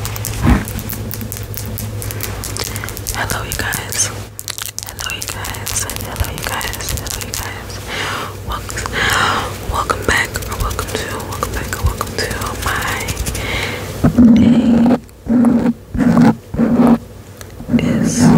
Hello, you guys. Hello, you guys. Hello, you guys. Hello, you guys. Welcome, welcome back, or welcome to, welcome back, or welcome to my day. Is M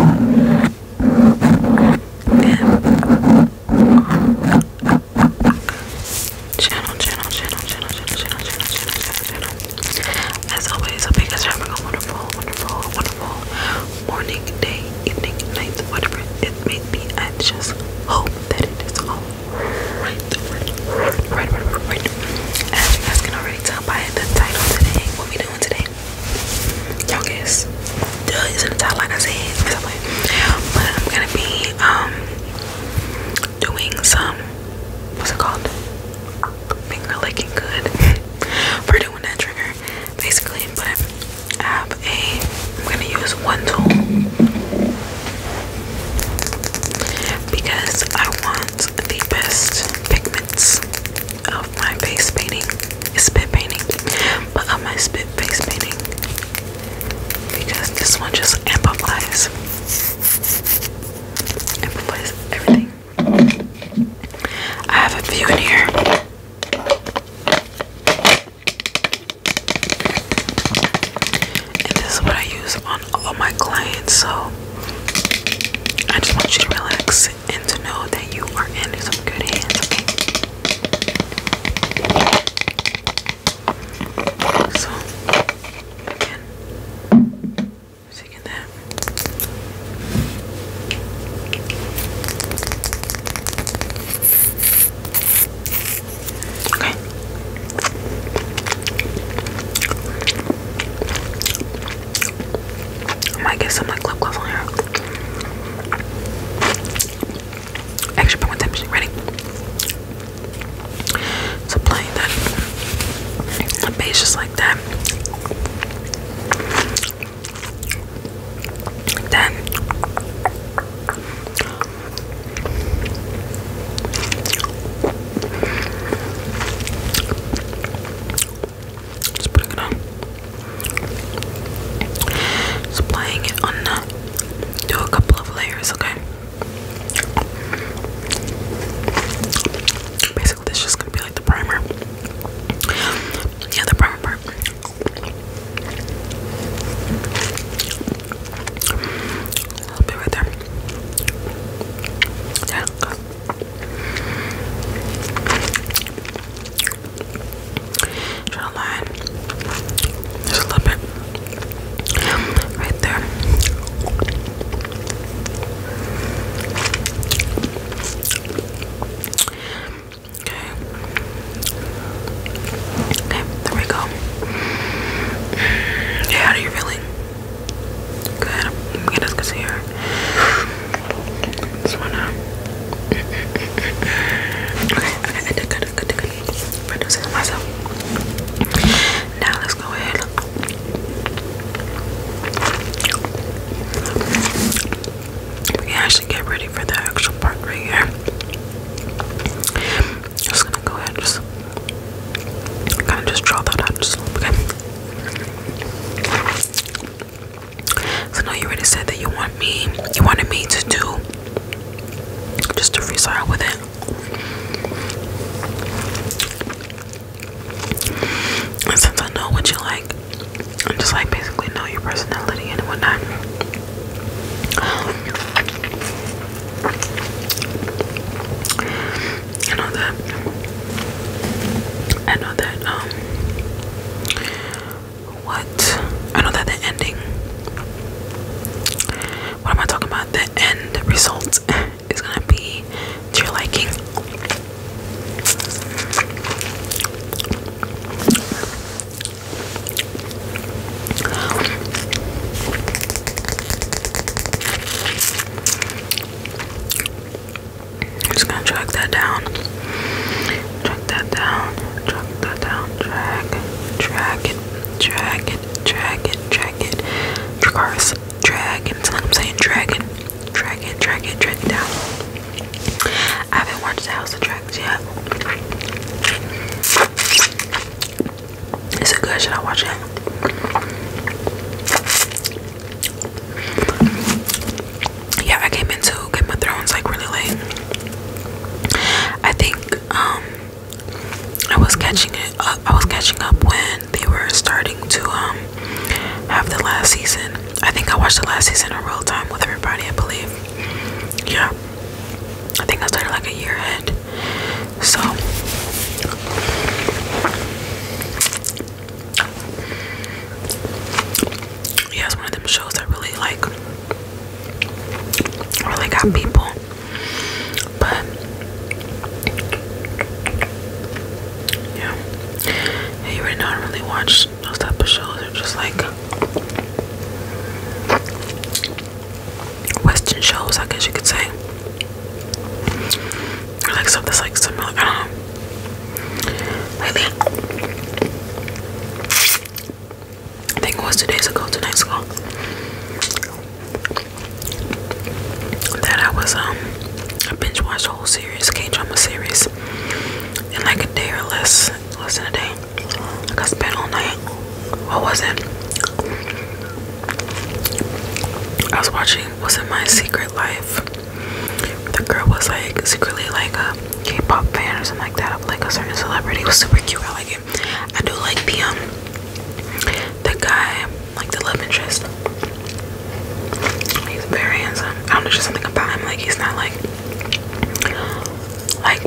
channel, channel, channel, channel, channel, channel, channel, channel, channel. As always, hope you guys are having a wonderful, wonderful, wonderful morning, day, evening, night, whatever it may be. I just hope that it is all right, right, right, right, right. As you guys can already tell by the title today, what we doing today? Y'all guess. Duh, it's in the title, like I said. But I'm gonna be um doing some what's it called? Finger licking good for doing that trigger, basically. But I have a, I'm gonna use one tool because I want the best pigments of my face painting, spit painting, but of my spit face painting because this one just amplifies everything. I have a few in here. this is what I use on all my clients. So I just want you to relax and to know that you are in some good hands, okay? So again. Second that. Okay. Oh, I might get some like lip gloss on here. Extra pigmentation. Ready? So playing that a base, just like that. Like Just putting it on. Just playing it on uh, do a couple of layers, okay? Basically, this is just gonna be like the primer. Yeah, the primer part. A little bit right there. Yeah, Just a little bit. Right there. Okay. Okay, there we go. Yeah, how do you feeling? Good. Get this here. This one out. Uh, okay, okay, I did good, I did good, reducing myself. Now let's go ahead. We actually get ready for the actual part right here. Just gonna go ahead just kind of just draw that out just So now you already said that you want me, you wanted me to do just to freestyle with it since I know what you like, I just like basically know your personality and whatnot. I know that I know that um what I know that the ending what am I talking about? The end result is gonna be to your liking. just gonna drag that down, drag that down, drag that down, drag, drag it dragon, dragon, dragon, dragons, dragons. I'm saying dragon, dragon, dragon, dragon down. I haven't watched the House of Dragons yet. Is it good? Should I watch it? Yeah, I came into Game of Thrones like really late. I think um I was catching it. Uh, I was catching up when they were starting to um, have the last season. I think I watched the last season in real time with everybody. I believe. Yeah, I think I started like a year ahead. So yeah, it's one of them shows that really like really got people but yeah, you already know watch those type of shows. They're just like Western shows, I guess you could say. like stuff like similar. I do Lately, I think it was two days ago, two nights ago, that I was um I binge watched a whole series, K drama series, in like a day or less, less than a day. Like I spent all night. What was it? I was watching. Was it My Secret Life? The girl was like secretly like a K-pop fan or something like that of like a certain celebrity. It was super cute. I like I do like the um guy, like the love interest. He's very handsome. I don't know, just something about him. Like he's not like like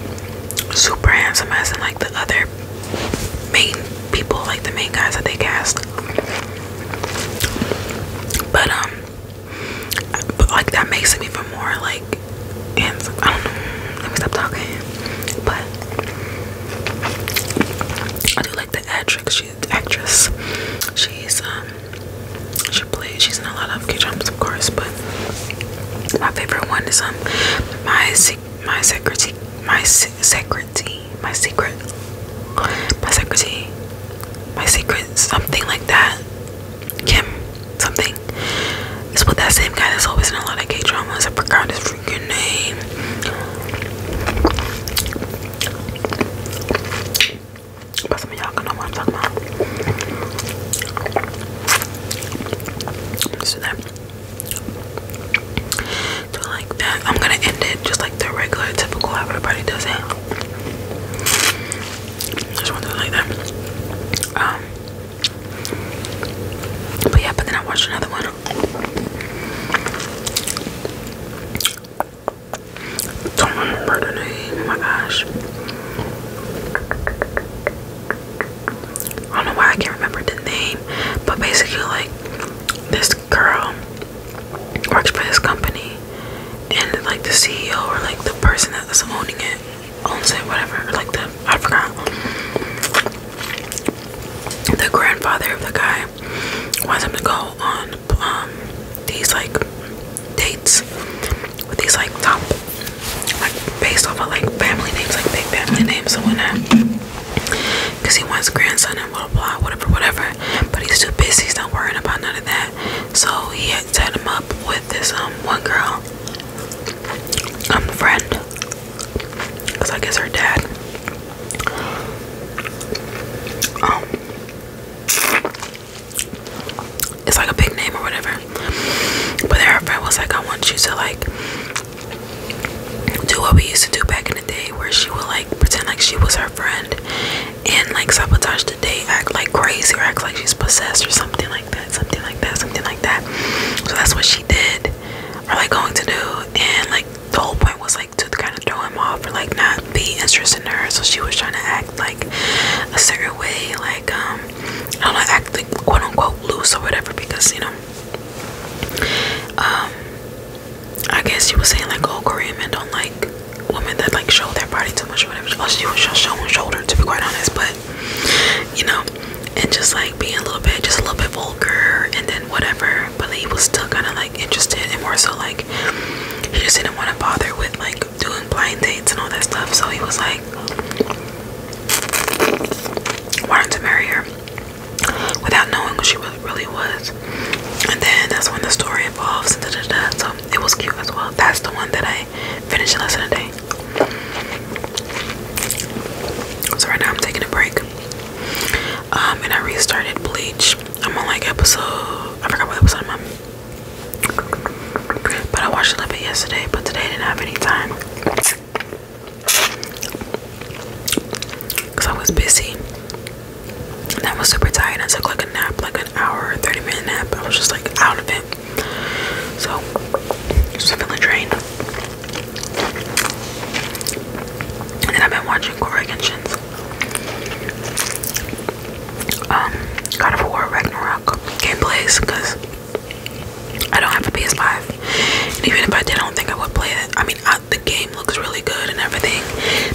super handsome as in like the other main people, like the main guys that they cast. But um, but like that makes him even more like and I don't know. Let me stop talking. But I do like the actress. She's the actress. She's um she plays. She's in a lot of K dramas, of course. But my favorite one is um my se my secretary my se secretary my secret my secretary my secret something like that. Kim something. It's with that same guy that's always in a lot of gay dramas. I forgot his freaking name. But like that. I'm gonna end it just like the regular typical everybody does it. Just want to like that. Um but yeah, but then I watched another one. Don't remember the name. Oh my gosh. I don't know why I can't remember the name, but basically, like this girl works for this company, and like the CEO or like the person that's owning it owns it, whatever. Like the I forgot. The grandfather of the guy wants him to go on um, these like dates with these like top like based off of like family names, like big family names the winner. Cause he wants grandson and blah blah whatever whatever, but he's too busy. He's not worrying about none of that. So he had set him up with this um one girl, I'm um friend because I guess her dad um it's like a big name or whatever but her friend was like I want you to like do what we used to do back in the day where she would like pretend like she was her friend and like sabotage the date act like crazy or act like she's possessed or something like that something like that something like so that's what she did, or like going to do, and like the whole point was like to kind of throw him off or like not be interested in her. So she was trying to act like a certain way, like um, I don't know, act like quote unquote loose or whatever, because you know, um, I guess she was saying like, oh, Korean men don't like women that like show their body too much or whatever. Oh, she was just showing shoulder to be quite honest, but you know, and just like being a little bit just a little bit vulgar and then whatever but he was still kind of like interested and more so like he just didn't want to bother with like doing blind dates and all that stuff so he was like wanted to marry her without knowing what she really was and then that's when the story evolves and da, da, so it was cute as well that's the one that i finished lesson today so right now I'm taking a break. Um, and I restarted Bleach. I'm on like episode I forgot what episode I'm on. But I watched a little bit yesterday, but today I didn't have any time. Cause I was busy. And I was super tired. I took like a nap, like an hour, 30 minute nap. I was just like out of it. So, just fill the drain. And then I've been watching Korra Genshin's um, God of War Ragnarok gameplays because I don't have a PS5. And even if I did, I don't think I would play it. I mean, I, the game looks really good and everything.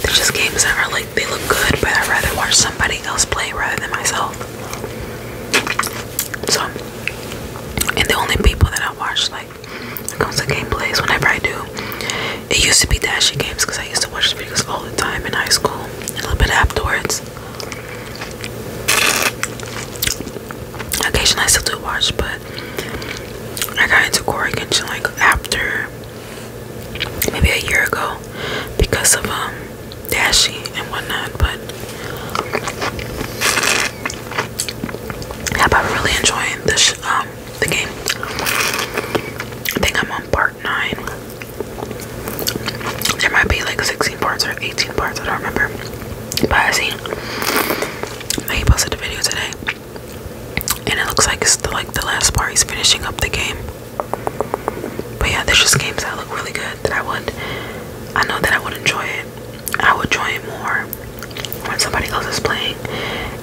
They're just games that are like, they look good, but I'd rather watch somebody else play rather than myself. So, and the only people that I watch, like, when it comes to gameplays, whenever I do, it used to be Dashy Games because I used to watch the videos all the time in high school, a little bit afterwards. Occasionally, I still do watch, but I got into Core Genshin like after maybe a year ago because of um Dashi and whatnot, but I'm really enjoying this um the game. I think I'm on part nine. There might be like 16 parts or 18 parts. I don't remember, but I see he posted a video today, and it looks like like the last part. He's finishing up the game. But yeah, there's just games that look really good that I would, I know that I would enjoy it. I would enjoy it more when somebody else is playing.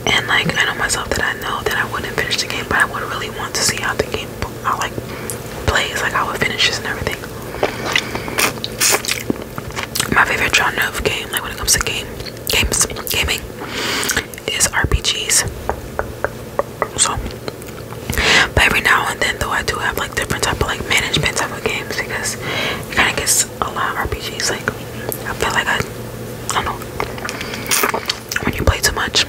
And like, I know myself that I know that I wouldn't finish the game, but I would really want to see how the game, how like plays, like how it finishes and everything. My favorite genre of game, like when it comes to game, games, gaming, is RPGs. So but every now and then, though, I do have like different type of like management type of games because it kind of gets a lot of RPGs. Like I feel like I, don't know, when you play too much,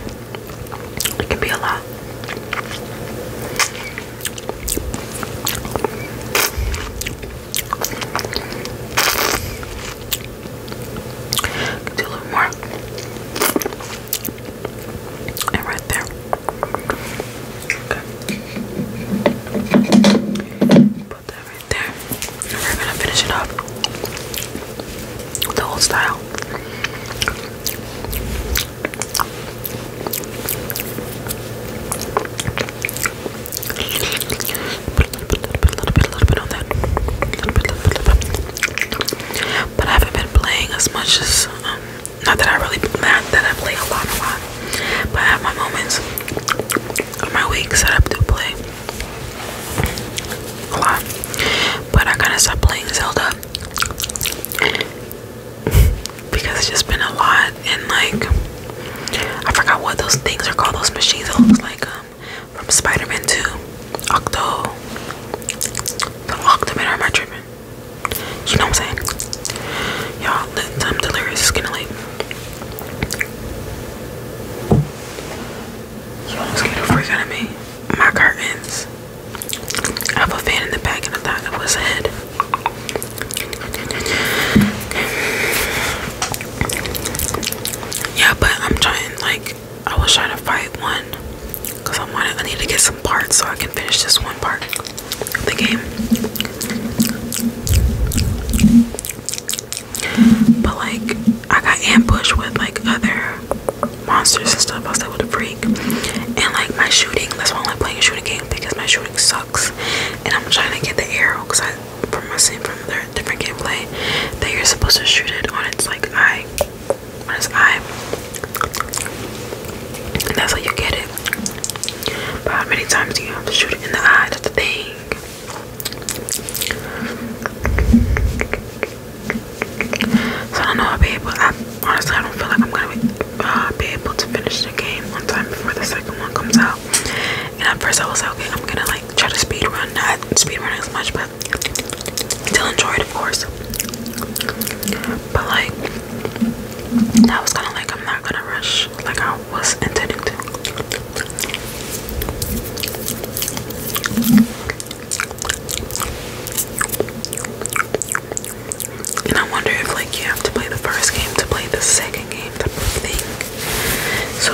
it can be a lot. Do a little more there. Okay. Put that right there. we're gonna finish it up. The whole style. Put a little bit, a little bit, a little bit, a little bit A little bit, a little but I haven't been playing as much as um, not that I really not that I play a lot, a lot, but I have my moments of my week set up to play a lot. But I kind of stop playing Zelda because it's just been a lot, and like I forgot what those things are called. Those machines that looks like um, from Spider-Man 2, Octo, the Octoman. Or am I tripping? You know what I'm saying? Y'all, I'm delirious. It's getting late. Y'all, it's getting a freak out of me. My curtains. I have a fan in the back and I thought it was a head. Yeah, but I'm trying, like, I was trying to fight one because I I'm wanted I need to get some parts so I can finish this one part of the game. But like I got ambushed with like other monsters and stuff. I was able to freak. And like my shooting, that's why I like playing a shooting game because my shooting sucks. And I'm trying to get the arrow because I from my scene from their different gameplay that you're supposed to shoot it on its like eye on his eye. And that's how you get it. But how many times do you have to shoot it in the eye? That's the thing. So I don't know I'll be able I honestly I don't feel like I'm gonna uh, be, able to finish the game on time before the second one comes out. And at first I was like, okay, I'm gonna like try to speed run, not speed run as much, but Still enjoyed, of course. But like, that was kind of like I'm not gonna rush, like I was intending to. And I wonder if like you have to play the first game to play the second game type of thing. So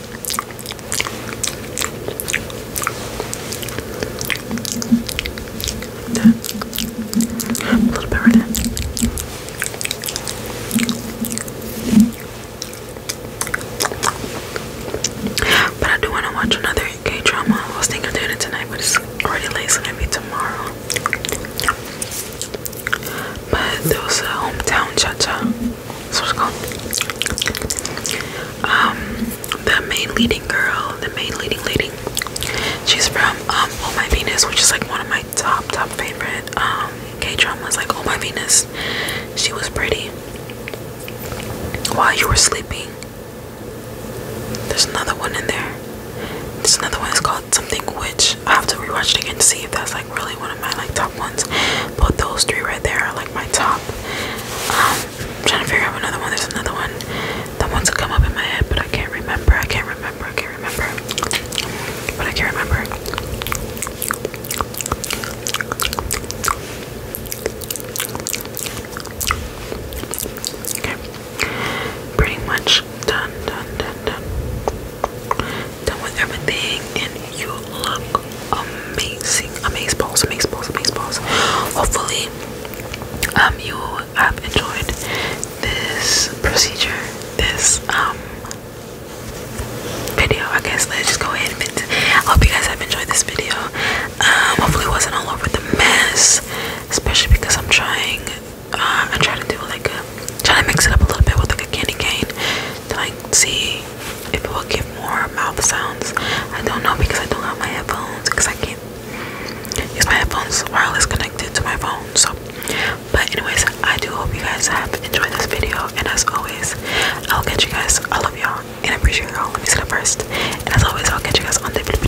A little bit right in. But I do want to watch another gay drama. I was thinking of it tonight, but it's already late, so maybe tomorrow. But there was a hometown cha cha so it's called um the main leading girl, the main leading lady. She's from um, Oh My Venus, which is like one of my top top favorite um K dramas like Oh My Venus. She was pretty while you were sleeping. There's another one in there. There's another one it's called Something which I have to rewatch it again to see if that's like really one of my like top ones. But those three right there are like my top um I'm trying to figure out another one. There's another one. The ones that come up in my head, but I can't remember. I can't remember. I can't remember. But I can't remember. Pretty much done, done, done, done. Done with everything and you look amazing. Amaze balls, amazing balls, amazing balls. Hopefully, um, you have enjoyed this procedure, this um video. I guess let's just go ahead and I hope you guys have enjoyed this video. Um, hopefully, wasn't all over the mess, especially because I'm trying. Uh, I try to do like a try to mix it up a little bit with like a candy cane so I can see if it will give more mouth sounds. I don't know because I don't have my headphones because I can't use my headphones wireless connected to my phone. So, but anyways, I do hope you guys have enjoyed this video. And as always, I'll catch you guys. I love y'all and I appreciate y'all. Let me see that first. And as always, I'll catch you guys on the video.